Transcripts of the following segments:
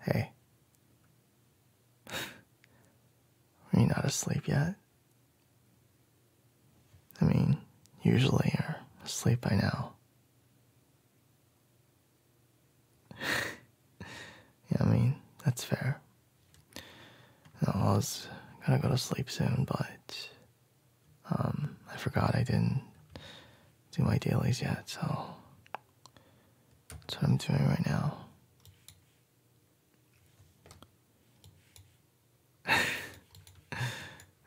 Hey. Are you not asleep yet? I mean, usually you're asleep by now. yeah, I mean, that's fair. I was gonna go to sleep soon, but um, I forgot I didn't do my dailies yet, so that's what I'm doing right now. Are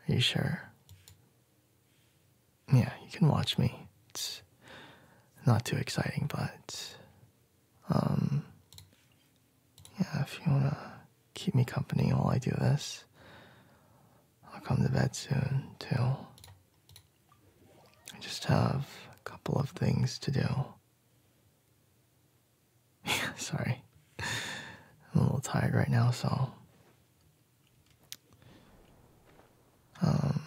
you sure? Yeah, you can watch me. It's not too exciting, but um yeah, if you wanna keep me company while I do this, I'll come to bed soon too. I just have a couple of things to do. Sorry. I'm a little tired right now, so. Um.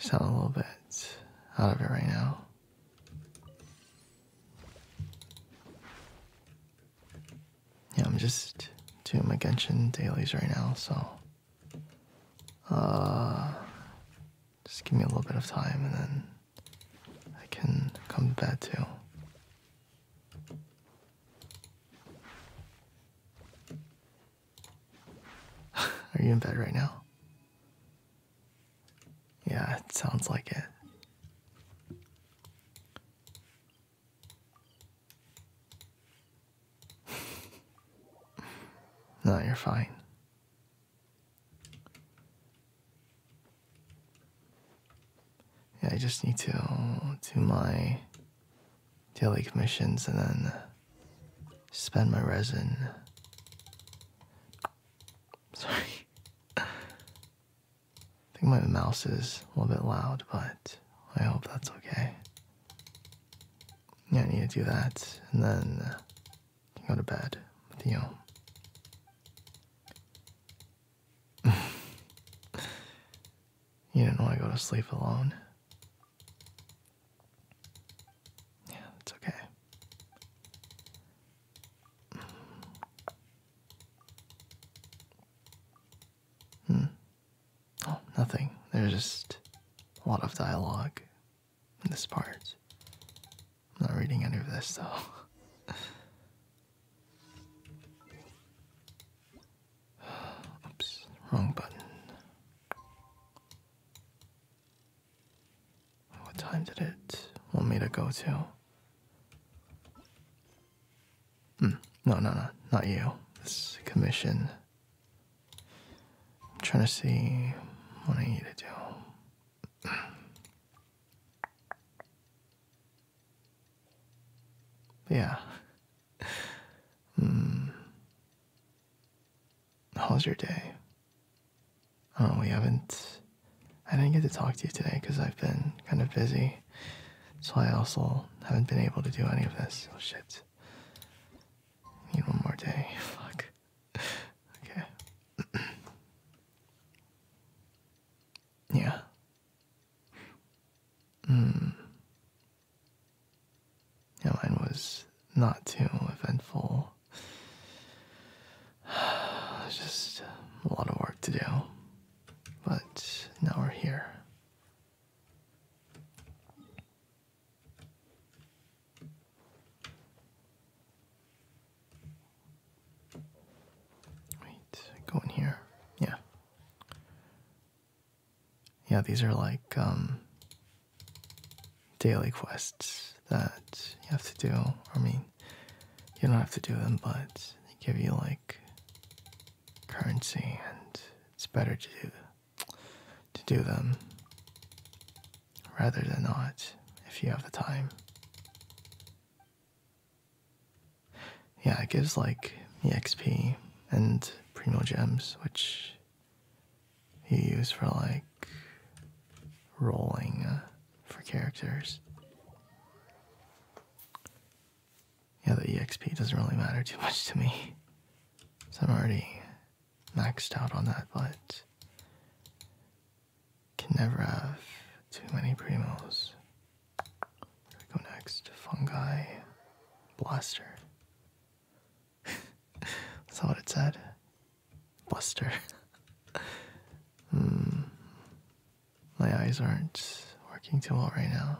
Sound a little bit out of it right now. Yeah, I'm just doing my Genshin dailies right now, so uh, just give me a little bit of time and then I can come to bed too. Are you in bed right now? Yeah, it sounds like it. no, you're fine. Yeah, I just need to do my daily commissions and then spend my resin. Sorry. I think my mouse is a little bit loud, but I hope that's okay. Yeah, I need to do that, and then uh, go to bed with you. you didn't want to go to sleep alone. Yeah, that's okay. Hmm. Oh, nothing. There's just a lot of dialogue in this part. I'm not reading any of this, though. Oops, wrong button. What time did it want me to go to? Hmm. no, no, no, not you. This commission. I'm trying to see what I need to do. yeah. Hmm. How's your day? Oh, we haven't. I didn't get to talk to you today because I've been kind of busy. So I also haven't been able to do any of this. Oh shit. Need one more day. Fuck. Okay. yeah. Hmm. Yeah, mine was not too eventful. Just a lot of work to do. But now we're here. Wait, go in here. Yeah. Yeah, these are like um, daily quests that you have to do. I mean, you don't have to do them, but they give you like currency, and it's better to do to do them rather than not if you have the time. Yeah, it gives like EXP and primal gems, which you use for like rolling uh, for characters. Yeah, the EXP doesn't really matter too much to me. So I'm already maxed out on that, but can never have too many primos. go next. Fungi Blaster. That's not what it said. Blaster. Hmm. My eyes aren't working too well right now.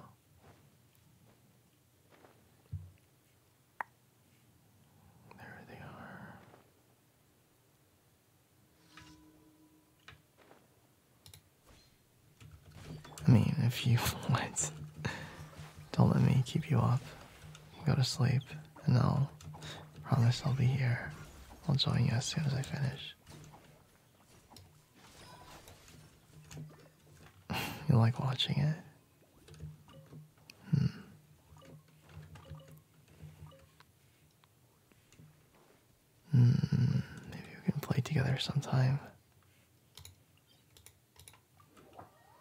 There they are. I mean, if you want, don't let me keep you up. Go to sleep, and I'll promise I'll be here. I'll join you as soon as I finish. You like watching it? Hmm. Hmm. Maybe we can play together sometime.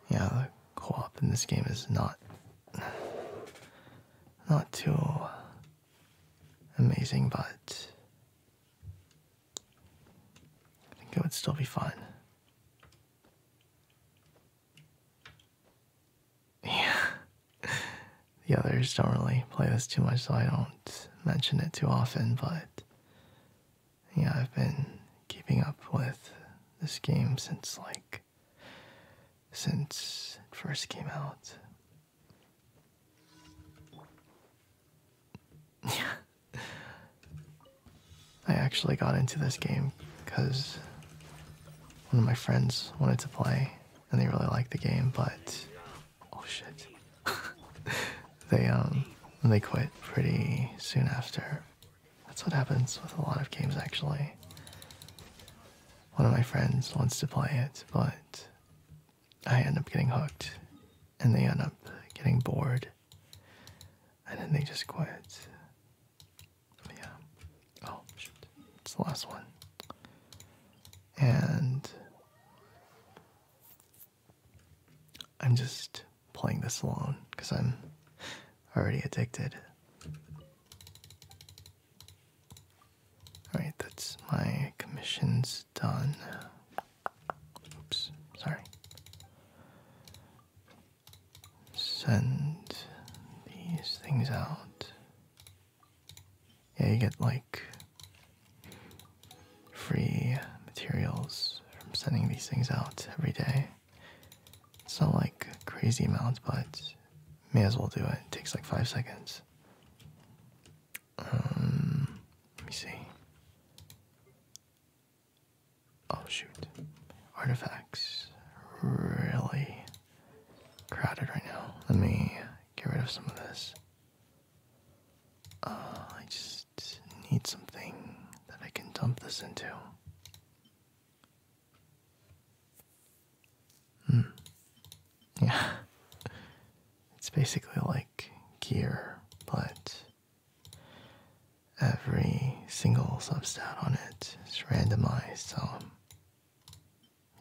Yeah, the co-op in this game is not not too amazing, but I think it would still be fun. Yeah. The others don't really play this too much, so I don't mention it too often, but yeah, I've been keeping up with this game since like since it first came out. I actually got into this game because one of my friends wanted to play and they really liked the game, but oh shit. they um they quit pretty soon after. That's what happens with a lot of games actually. One of my friends wants to play it, but I end up getting hooked and they end up getting bored and then they just quit. yeah. Oh, It's the last one. And I'm just playing this alone because I'm already addicted. Alright, that's my commissions done. Oops, sorry. Send these things out. Yeah, you get like free materials from sending these things out every day. It's not like crazy amounts, but may as well do it. It takes like five seconds. Um, let me see. Oh shoot. Artifacts. Really crowded right now. Let me get rid of some of this. Uh, I just need something that I can dump this into. Hmm. Yeah. It's basically like gear, but every single substat on it is randomized, so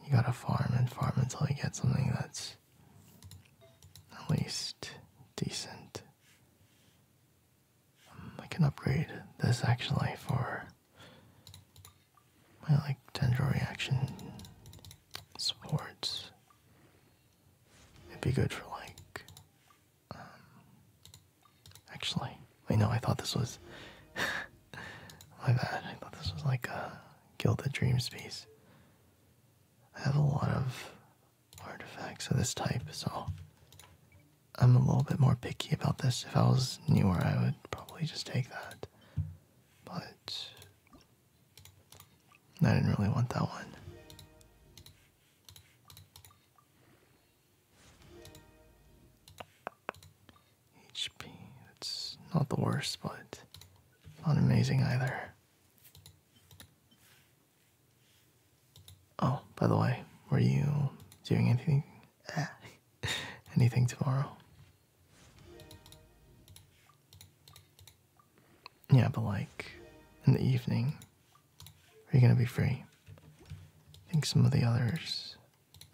you gotta farm and farm until you get something that's at least decent. Um, I can upgrade this actually for my like tendril reaction swords. It'd be good for like. Um, actually, wait, no, I thought this was. my bad. I thought this was like a Gilded Dreams piece. I have a lot of artifacts of this type, so I'm a little bit more picky about this. If I was newer, I would probably just take that. But I didn't really want that one. HP, it's not the worst, but not amazing either. Oh, by the way, were you doing anything eh, anything tomorrow? Yeah, but like in the evening, are you gonna be free? I think some of the others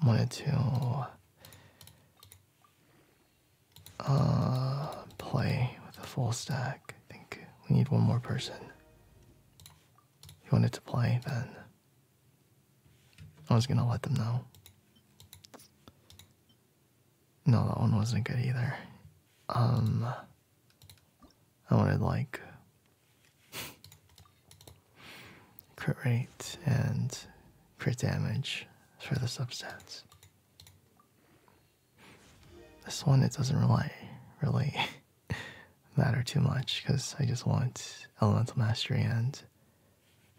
wanted to uh, play with a full stack. I think we need one more person. If You wanted to play then? I was gonna let them know. No, that one wasn't good either. Um, I wanted like crit rate and crit damage for the substats. This one, it doesn't really, really matter too much because I just want elemental mastery and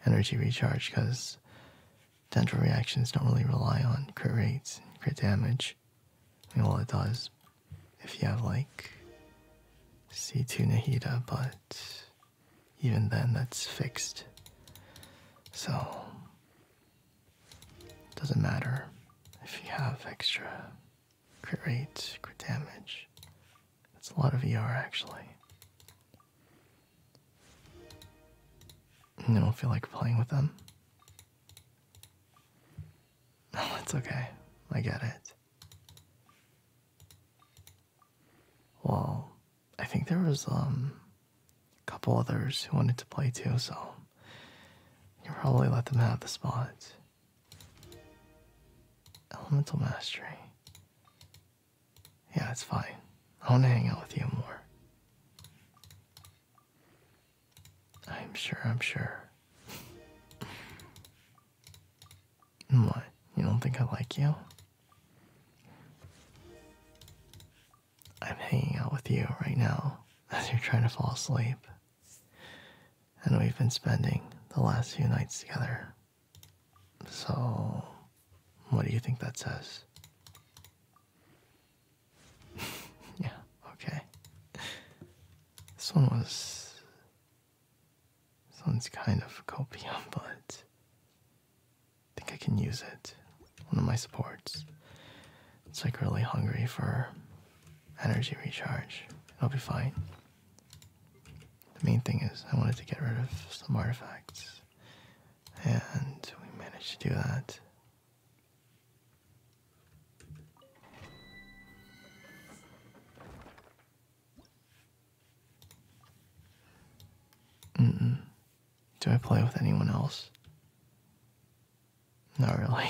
energy recharge because Dental reactions don't really rely on crit rates crit damage. I mean, well, it does if you have like C2 Nahida, but even then that's fixed. So, doesn't matter if you have extra crit rates, crit damage. That's a lot of ER actually. And I don't feel like playing with them. No, it's okay. I get it. Well, I think there was um a couple others who wanted to play too, so you probably let them have the spot. Elemental mastery. Yeah, it's fine. I want to hang out with you more. I'm sure, I'm sure. what? You don't think I like you? I'm hanging out with you right now as you're trying to fall asleep. And we've been spending the last few nights together. So, what do you think that says? yeah, okay. This one was. This one's kind of copium, but I think I can use it. One of my supports. It's like really hungry for energy recharge. It'll be fine. The main thing is, I wanted to get rid of some artifacts, and we managed to do that. Mm Do I play with anyone else? Not really.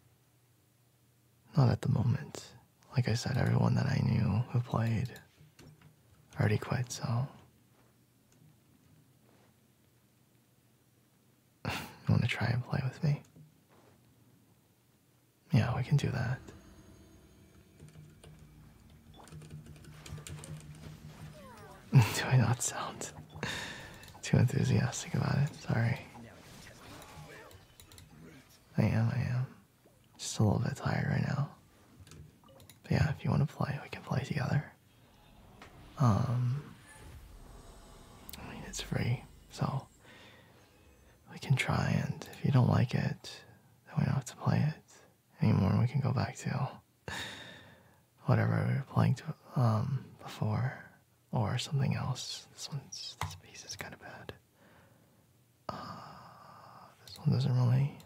Not at the moment. Like I said, everyone that I knew who played already quit, so you want to try and play with me? Yeah, we can do that. do I not sound too enthusiastic about it? Sorry. I am, I am. Just a little bit tired right now. But yeah, if you want to play, we can play together. Um, I mean, it's free, so we can try, and if you don't like it, then we don't have to play it anymore. We can go back to whatever we were playing to, um, before or something else. This one's, this piece is kind of bad. Uh, this one doesn't really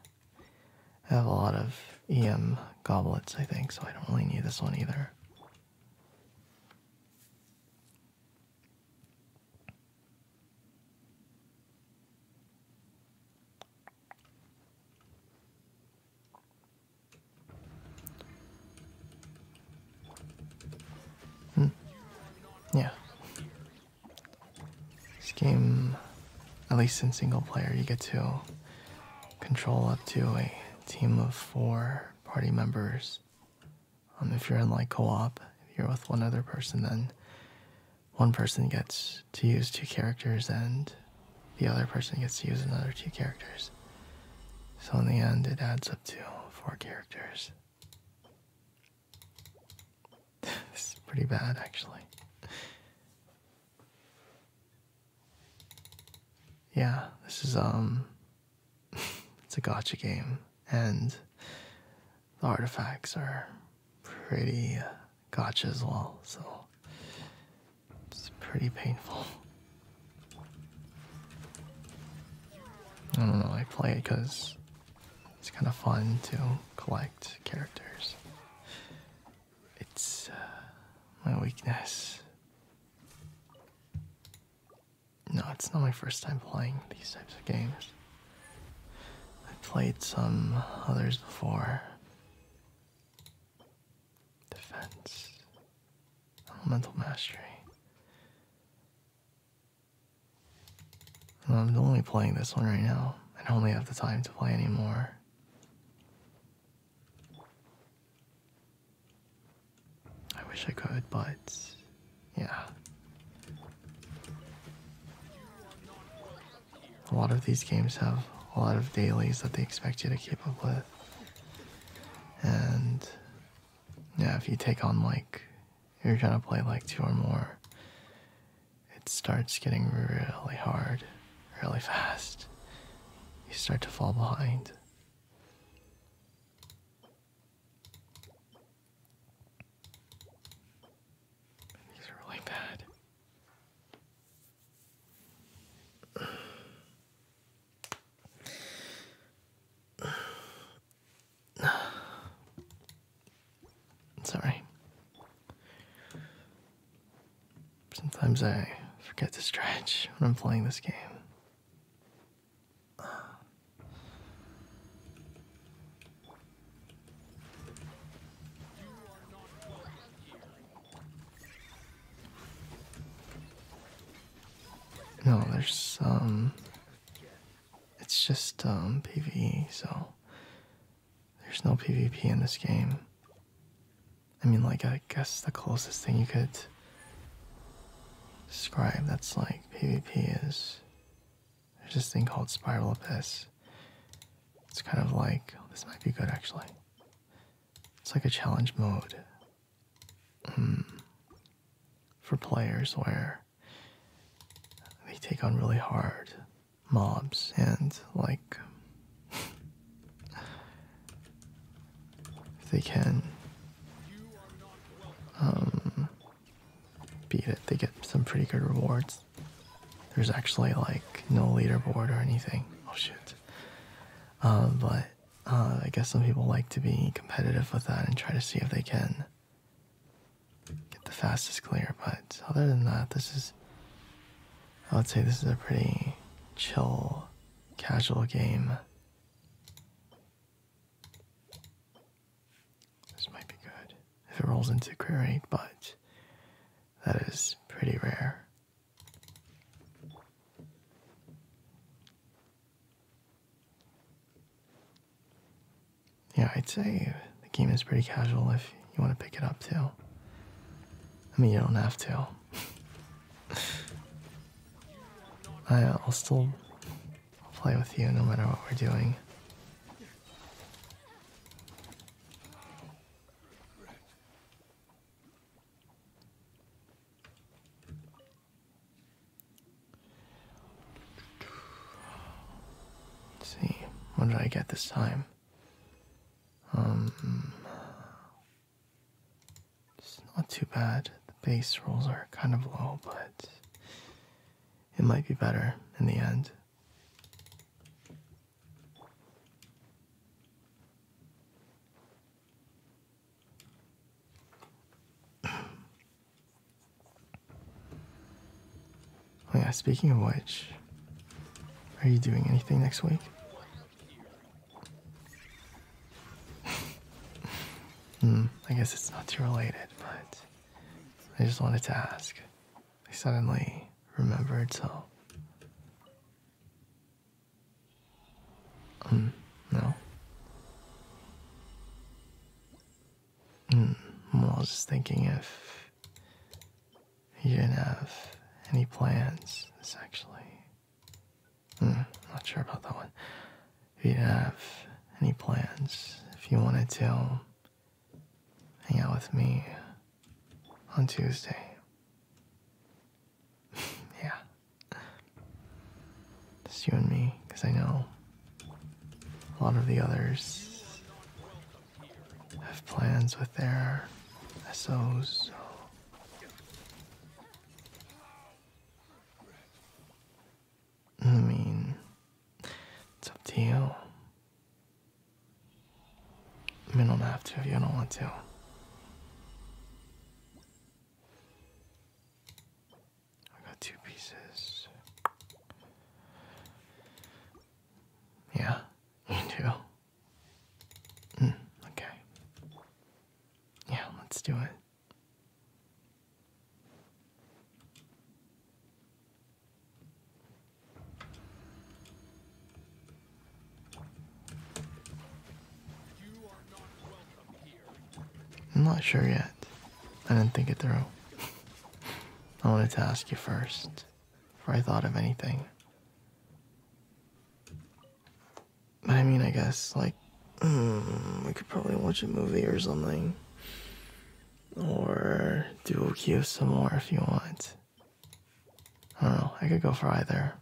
I have a lot of EM goblets, I think, so I don't really need this one either. Hmm. Yeah. This game, at least in single player, you get to control up to a team of four party members. Um, if you're in like co-op, if you're with one other person, then one person gets to use two characters and the other person gets to use another two characters. So in the end, it adds up to four characters. this is pretty bad, actually. Yeah, this is um it's a gotcha game and the artifacts are pretty uh, gotcha as well, so it's pretty painful. I don't know, I play it because it's kind of fun to collect characters. It's uh, my weakness. No, it's not my first time playing these types of games. I played some others before. Defense. Elemental Mastery. I'm only playing this one right now. I don't really have the time to play anymore. I wish I could, but yeah. A lot of these games have a lot of dailies that they expect you to keep up with. And yeah, if you take on like, you're trying to play like two or more, it starts getting really hard really fast, you start to fall behind. These are really bad. Sorry. Sometimes I forget to stretch when I'm playing this game. No, there's um it's just um PvE, so there's no PvP in this game. I mean, like, I guess the closest thing you could describe that's like PvP is there's this thing called Spiral Abyss. It's kind of like, this might be good actually. It's like a challenge mode hmm, for players where they take on really hard mobs and like if they can um, beat it, they get some pretty good rewards. There's actually like no leaderboard or anything. Oh shit. Uh, but uh, I guess some people like to be competitive with that and try to see if they can get the fastest clear. But other than that, this is I would say this is a pretty chill, casual game. This might be good if it rolls into career 8, but that is pretty rare. Yeah, I'd say the game is pretty casual if you want to pick it up too. I mean, you don't have to. I, will uh, still play with you no matter what we're doing. see, what did I get this time? Um, it's not too bad. The base rolls are kind of low, but it might be better in the end. Oh yeah, speaking of which, are you doing anything next week? hmm, I guess it's not too related, but I just wanted to ask. I suddenly remembered, so. Hmm, no. Hmm, I was just thinking if you didn't have any plans, this actually. Mm, not sure about that one. If you didn't have any plans, if you wanted to hang out with me on Tuesday. yeah. It's you and me, because I know a lot of the others have plans with their SOs. I mean, it's up to you. I mean, I don't have to if you don't want to. I got two pieces. Yeah, me too. Hmm, okay. Yeah, let's do it. I'm not sure yet. I didn't think it through. I wanted to ask you first before I thought of anything. But I mean, I guess, like, hmm, we could probably watch a movie or something. Or do a some more if you want. I don't know, I could go for either.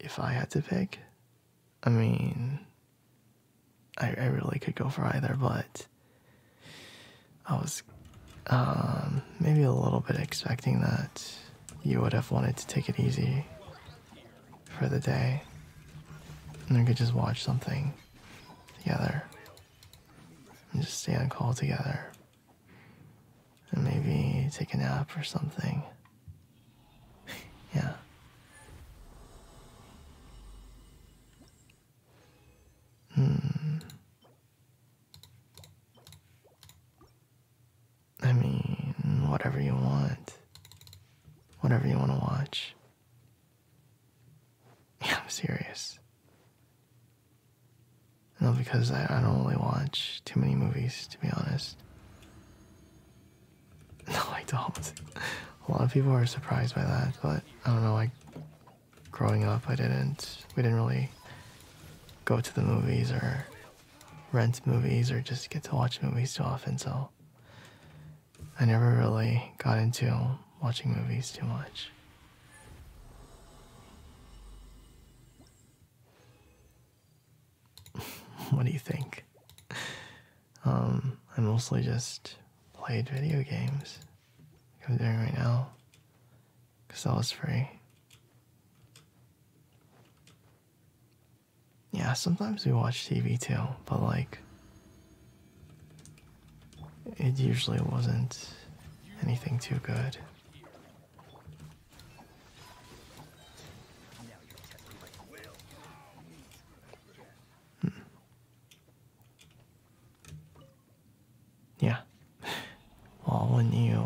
If I had to pick, I mean, I really could go for either, but I was um, maybe a little bit expecting that you would have wanted to take it easy for the day. And we could just watch something together. And just stay on call together. And maybe take a nap or something. yeah. Hmm. I mean, whatever you want. Whatever you want to watch. Yeah, I'm serious. No, because I, I don't really watch too many movies, to be honest. No, I don't. A lot of people are surprised by that, but I don't know, I growing up, I didn't. We didn't really go to the movies or rent movies or just get to watch movies too often. So I never really got into watching movies too much. what do you think? Um, I mostly just played video games, like I'm doing right now because that was free. Yeah, sometimes we watch TV too, but like, it usually wasn't anything too good. Hmm. Yeah. Well, when you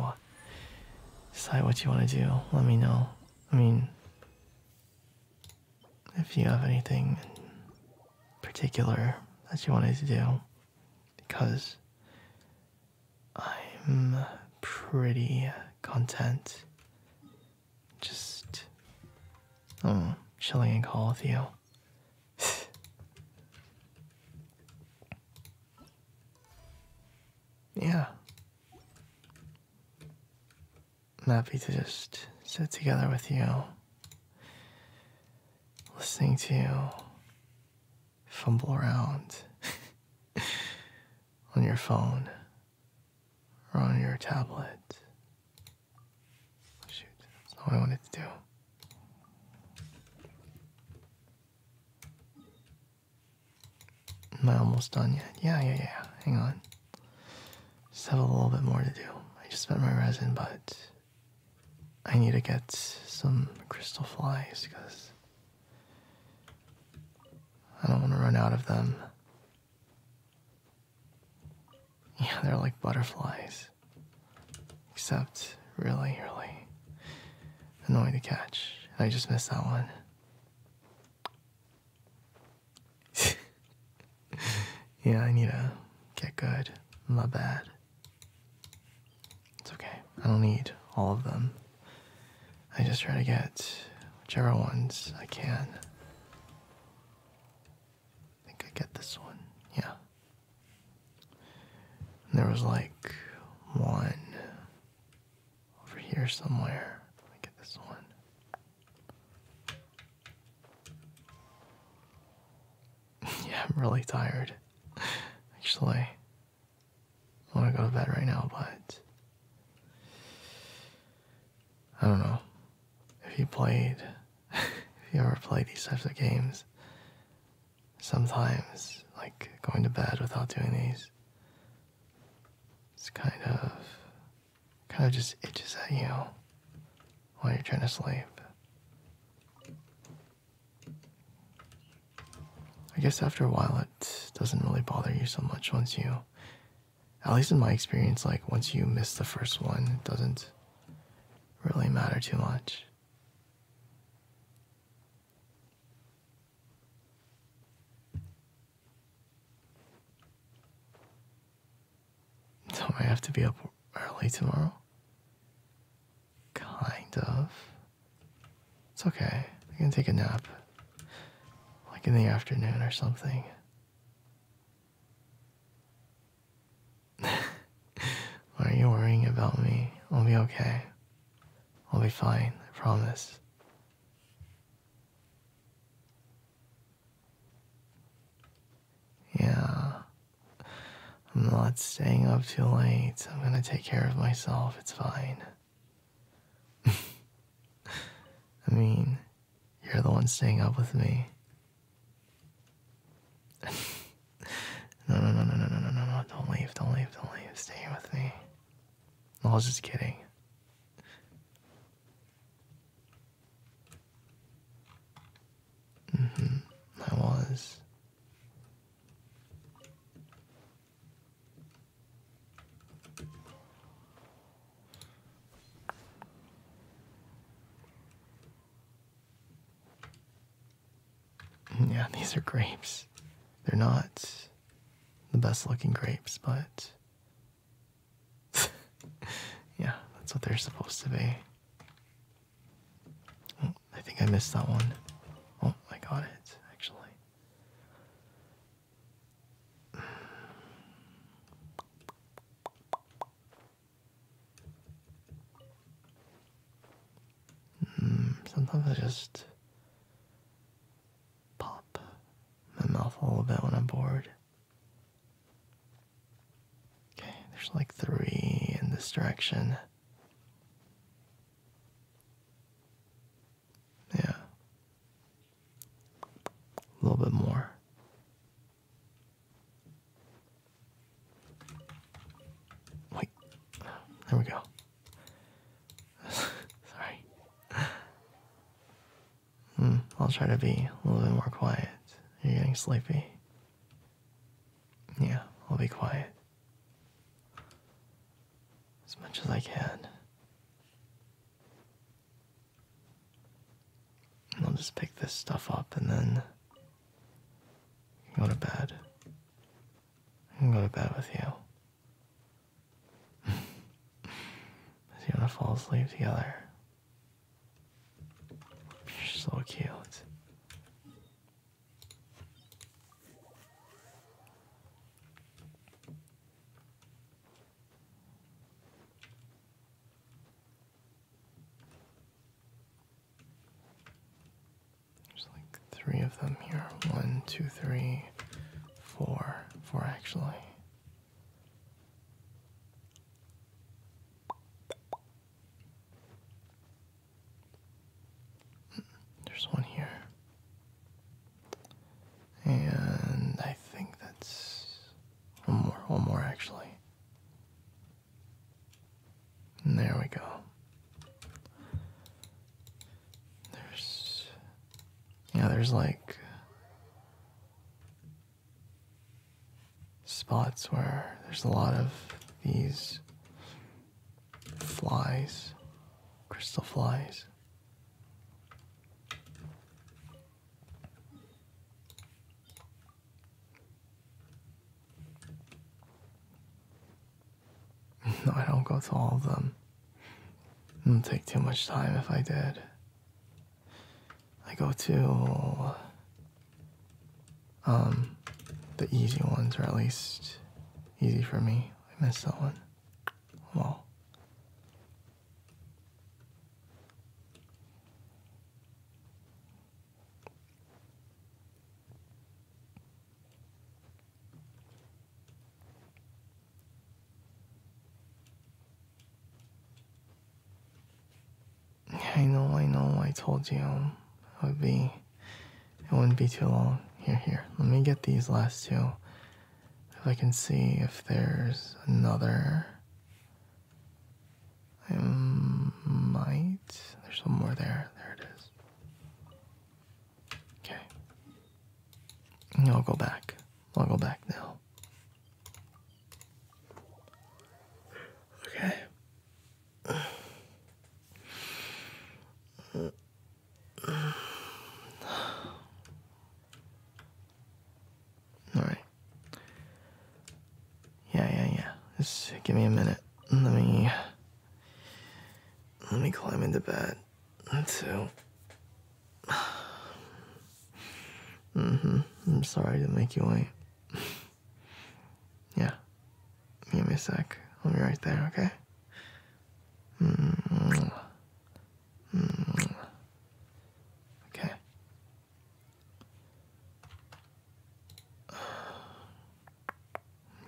decide what you want to do, let me know. I mean, if you have anything in particular that you wanted to do, because I'm pretty content just, chilling and call with you. yeah. I'm happy to just sit together with you, listening to you fumble around on your phone or on your tablet. Shoot, that's all I wanted to do. Am I almost done yet? Yeah, yeah, yeah. Hang on. Just have a little bit more to do. I just spent my resin, but I need to get some crystal flies because I don't want to run out of them. Yeah, they're like butterflies. Except, really, really annoying to catch. I just missed that one. yeah, I need to get good. My bad. It's okay. I don't need all of them. I just try to get whichever ones I can. I think I get this one. Yeah there was like one over here somewhere. Let get this one. yeah, I'm really tired. Actually, I want to go to bed right now, but I don't know if you played, if you ever played these types of games sometimes, like going to bed without doing these, it's kind of, kind of just itches at you while you're trying to sleep. I guess after a while, it doesn't really bother you so much once you, at least in my experience, like once you miss the first one, it doesn't really matter too much. Don't I have to be up early tomorrow? Kind of. It's okay. I can take a nap. Like in the afternoon or something. Why are you worrying about me? I'll be okay. I'll be fine, I promise. Yeah. I'm not staying up too late. I'm gonna take care of myself. It's fine. I mean, you're the one staying up with me no, no, no, no, no, no, no, no, don't leave, don't leave, don't leave. Stay with me. I was just kidding. Mm hmm, I was. Yeah, these are grapes. They're not the best looking grapes, but yeah, that's what they're supposed to be. Oh, I think I missed that one. Oh, I got it, actually. Hmm, sometimes I just pop my mouth a little bit when I'm bored. Okay, there's like three in this direction. Yeah. A little bit more. Wait, there we go. Sorry. Hmm, I'll try to be a little bit more quiet. You're getting sleepy. Yeah, I'll be quiet. As much as I can. I'll just pick this stuff up and then Go to bed. I go to bed with you. Do you want to fall asleep together? You're so cute. There's like three of them here. One, two, three, four, four actually. There's one here. And I think that's one more, one more actually. And there we go. There's yeah, there's like spots where there's a lot of these flies, crystal flies. No, I don't go to all of them. It would take too much time if I did. I go to um the easy ones, or at least easy for me. I missed that one. Well. I know, I know, I told you um, it would be, it wouldn't be too long. Here, here, let me get these last two. If I can see if there's another. I might. There's one more there. There it is. Okay. I'll go back. I'll go back now. Okay. All right. Yeah, yeah, yeah. Just give me a minute. Let me. Let me climb into bed. Too. Mm-hmm. I'm sorry to make you wait. yeah. Give me a sec. I'll be right there, okay? hmm hmm Okay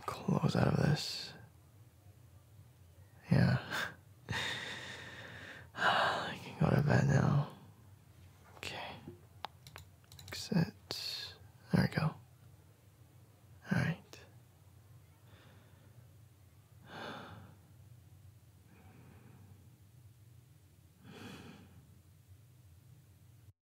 close out of this. Yeah. I can go to bed now. Okay. Exit. There we go. Alright.